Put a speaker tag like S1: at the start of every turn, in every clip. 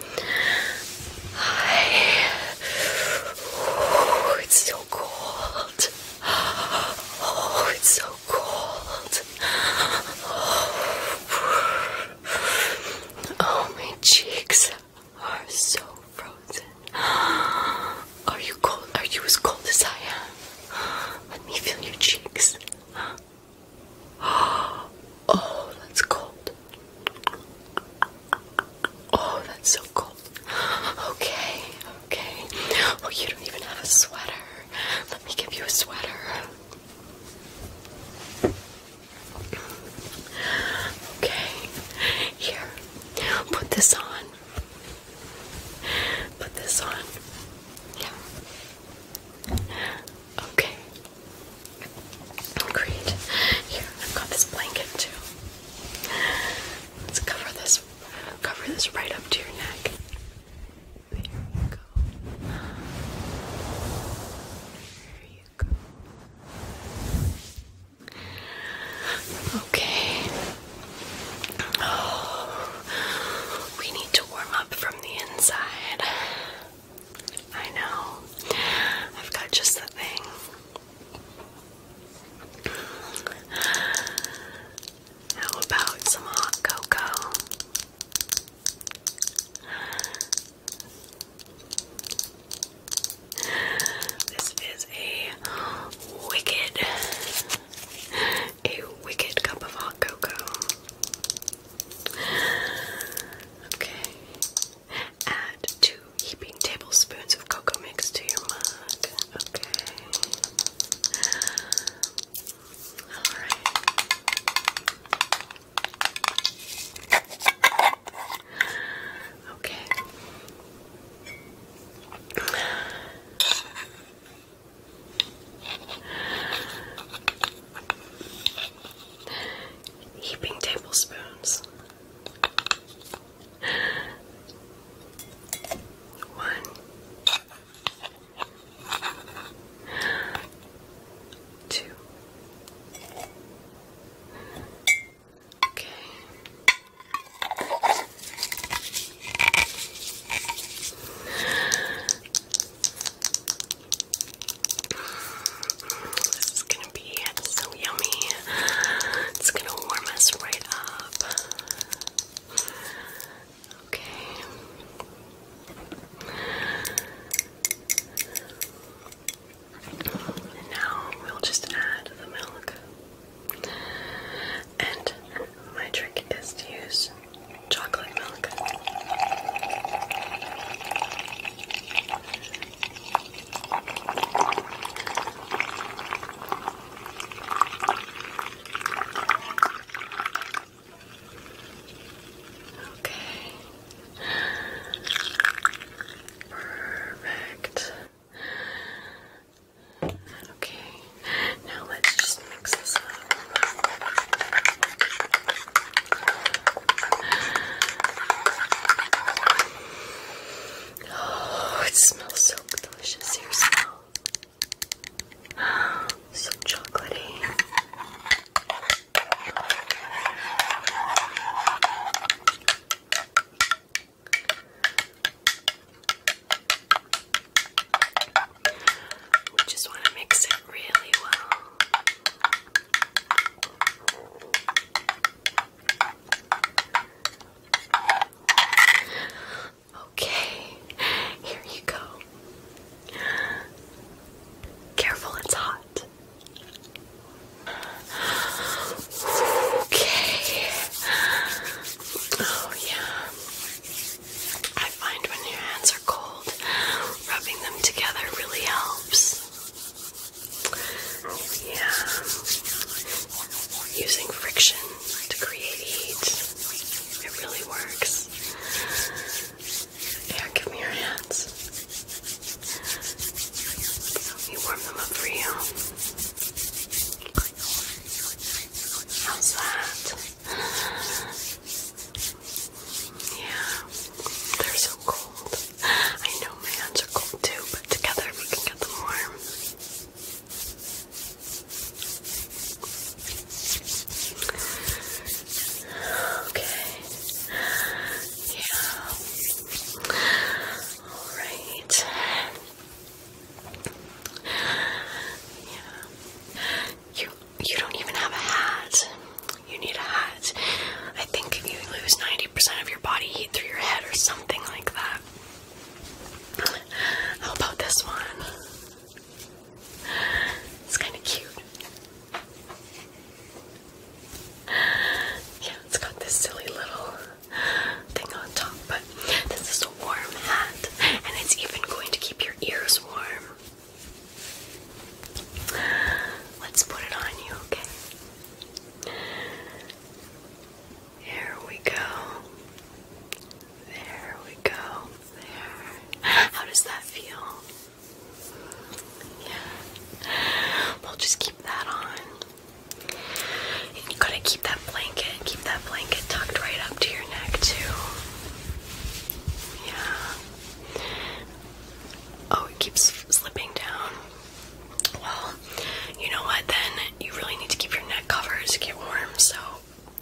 S1: Hi. Oh, it's so cold. Oh, it's so cold. Oh, my cheeks are so frozen. Are you cold? Are you as cold as I am? Let me feel your cheeks. Oh, that's cold. Oh, that's so cold. Okay, okay. Well, oh, you don't even have a sweater. Let me give you a sweater. Okay, here. Put this on. Put this on. Yeah. Okay. Great. Here, I've got this blanket too. Let's cover this cover this right up to your neck. There you go. There you go. Okay. Oh, we need to warm up from the inside. I know. I've got just the thing. How about some hot cocoa? This is a wicked, a wicked cup of hot cocoa. Okay. Add two heaping tablespoons of cocoa mix to your mug. Okay. All right. Okay. Heaping tablespoons. One. Two. Okay. This is gonna be so yummy. It's gonna warm us right up. Okay. now we'll just add the milk and my trick is to use chocolate milk. Okay. Perfect. Okay. Now let's just mix this up. Oh, it smells so delicious here, smell. Oh, so chocolatey. We just want to mix it really well. Okay, here you go. Careful, it's hot. Okay. Oh, yeah. I find when your hands are cold, rubbing them together really helps. Yeah. Using friction to create heat. It really works. Here, give me your hands. Let warm them up for you. How's that? Yeah, they're so cold. I know my hands are cold too, but together we can get them warm. Okay. Yeah. Alright. You you don't even have a hat. You need a hat. I think if you lose 90% of your body heat through your head or something like that. How about this one? It's kind of cute. Yeah, it's got this silly little thing on top, this is a warm hat, and it's even going to keep your ears warm. Let's put it on you, okay? Here we go. There we go. There. How does that feel? Yeah. We'll just keep that on. And you gotta keep that blanket, keep that blanket tucked right up to your neck too. Yeah. Oh, keeps slipping down. Well, you know what then? You really need to keep your neck covered to get warm, so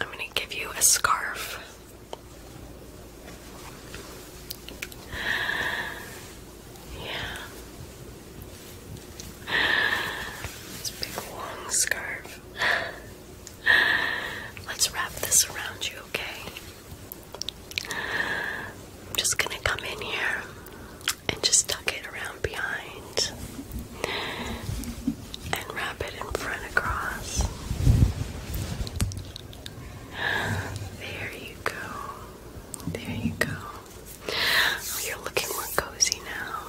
S1: I'm gonna give you a scarf. Yeah. This big long scarf. Let's wrap this around you, okay? just gonna come in here and just tuck it around behind and wrap it in front across. There you go. There you go. Oh, you're looking more cozy now.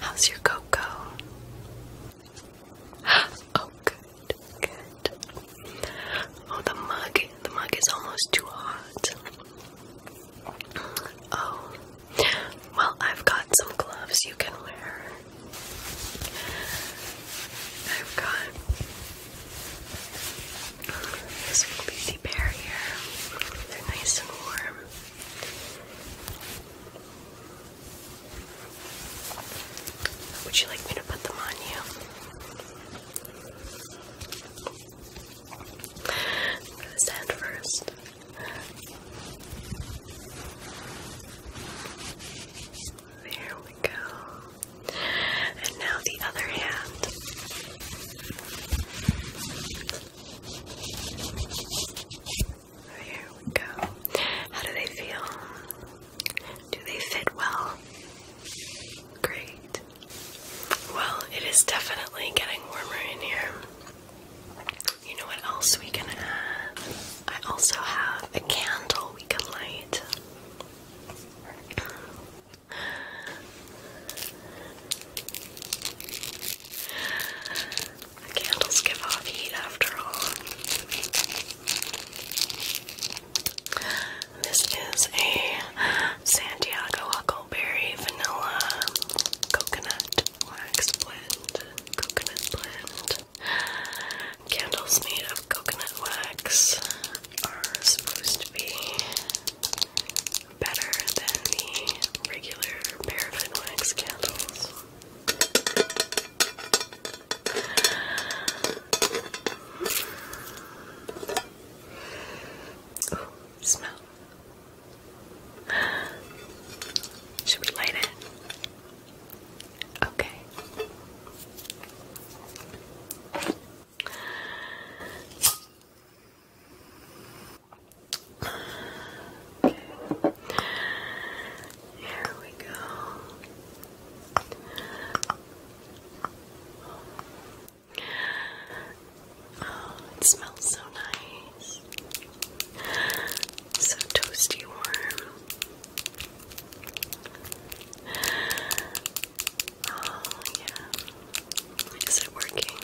S1: How's your cocoa? Oh, good. Oh, the mug, the mug is almost too hot. Oh, well, I've got some gloves you can wear. I've got this will be the barrier. They're nice and warm. Would you like me to put them on you? I'm first. There we go. And now the other hand. There oh, we go. How do they feel? Do they fit well? Great. Well, it is definitely getting warmer in here. You know what else we can add? I also have a candle we can light candles give off heat after all. This is a Santiago Huckleberry Vanilla Coconut Wax Blend. Coconut Blend. Candles made of coconut wax are supposed to be better than the regular paraffin wax candles. smell. Should we light it? Okay. Here we go. Oh, it smells so nice. So toasty warm. Oh, yeah. Is it working?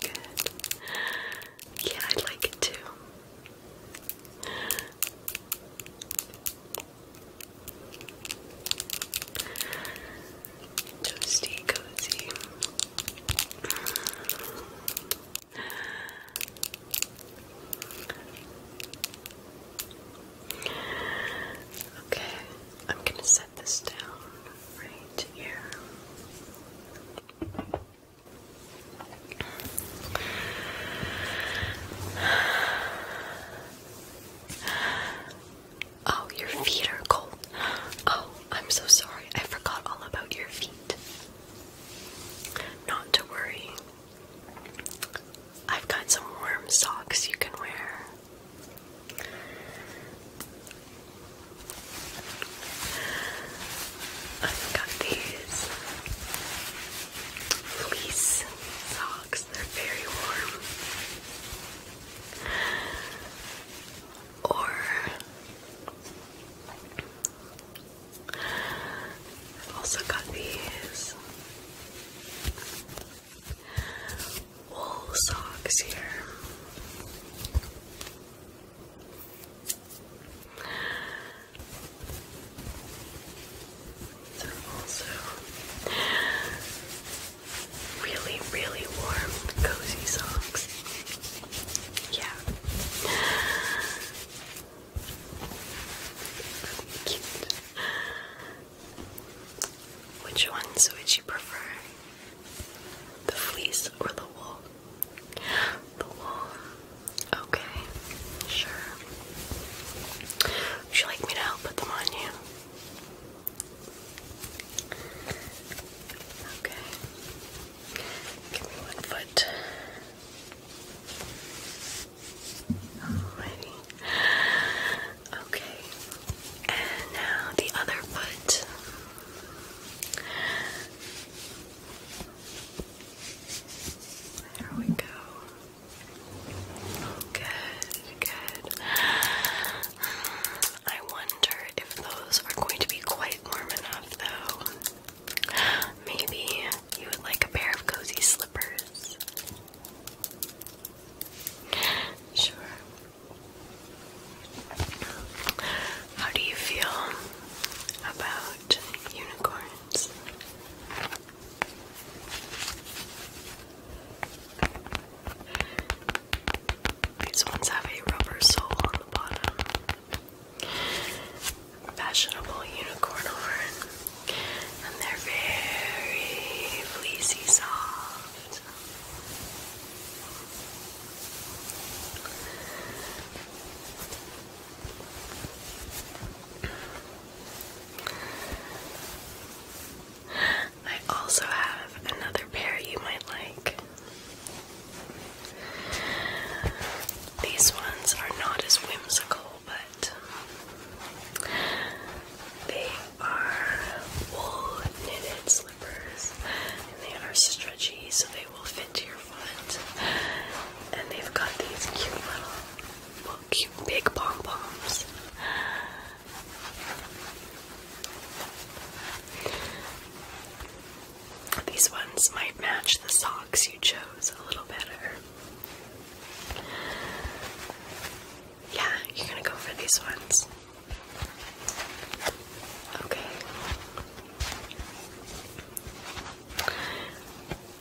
S1: Good. Yeah, I like it too. Toasty, cozy. Okay, I'm going to set this down right here. Oh, your feet are cold. Oh, I'm so sorry. I forgot all about your feet. Not to worry. I've got some warm socks you can wear. I've got these fleece socks, they're very warm. Or I've also got these wool socks here. They're also really, really warm, cozy socks. Yeah. Cute. Which ones would you prefer? The fleece or the wool? The wool. Okay, sure. Would you like me to help put them on you? Okay. Give me one foot. Alrighty. Okay. And now the other foot. There we go. Good, good. I wonder if those are going to be quite warm enough, though. Maybe you would like a pair of cozy slippers. Sure. How do you feel about unicorns? These ones have a rubber sole on the bottom fashionable unicorn horn, and they're very fleecy soft. I also have another pair you might like. These ones are not as whimsical, but they are wool knitted slippers and they are stretchy so they will fit to your foot. And they've got these cute little, well, cute big pom poms. These ones might match the socks you chose a little better. Yeah, you're gonna go for these ones. Okay.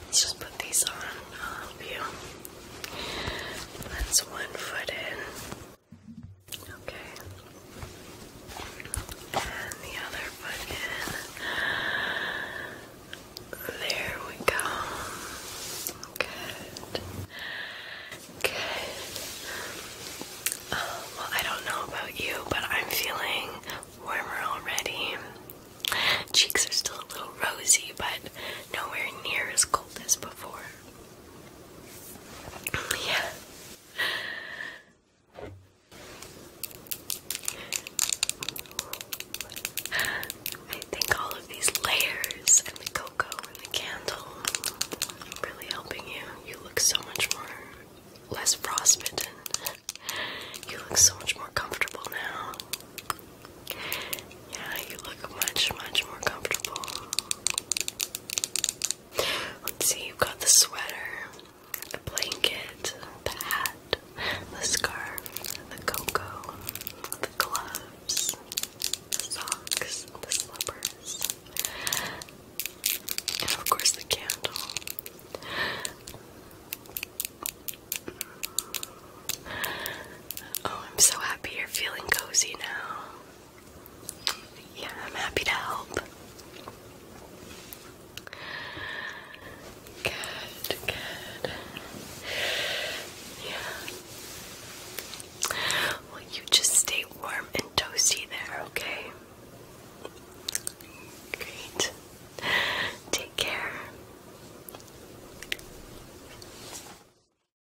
S1: Let's just put these on all of you. That's one foot in. Okay. And the other foot in. There we go. Good. Good. Um, well, I don't know about you, but I'm feeling warmer already. Cheeks are still a little rosy, but nowhere near as cold as before. Yeah. I think all of these layers and the cocoa and the candle are really helping you. You look so much more less frostbitten. You look so much more comfortable now. Yeah, you look much, much more comfortable. Let's see, you've got the sweater, the blanket, the hat, the scarf, the cocoa, the gloves, the socks, the slippers, and of course the candle. Oh, I'm so happy you're feeling cozy now. Yeah, I'm happy to help. Good, good. Yeah. Well, you just stay warm and toasty there, okay? Great. Take care.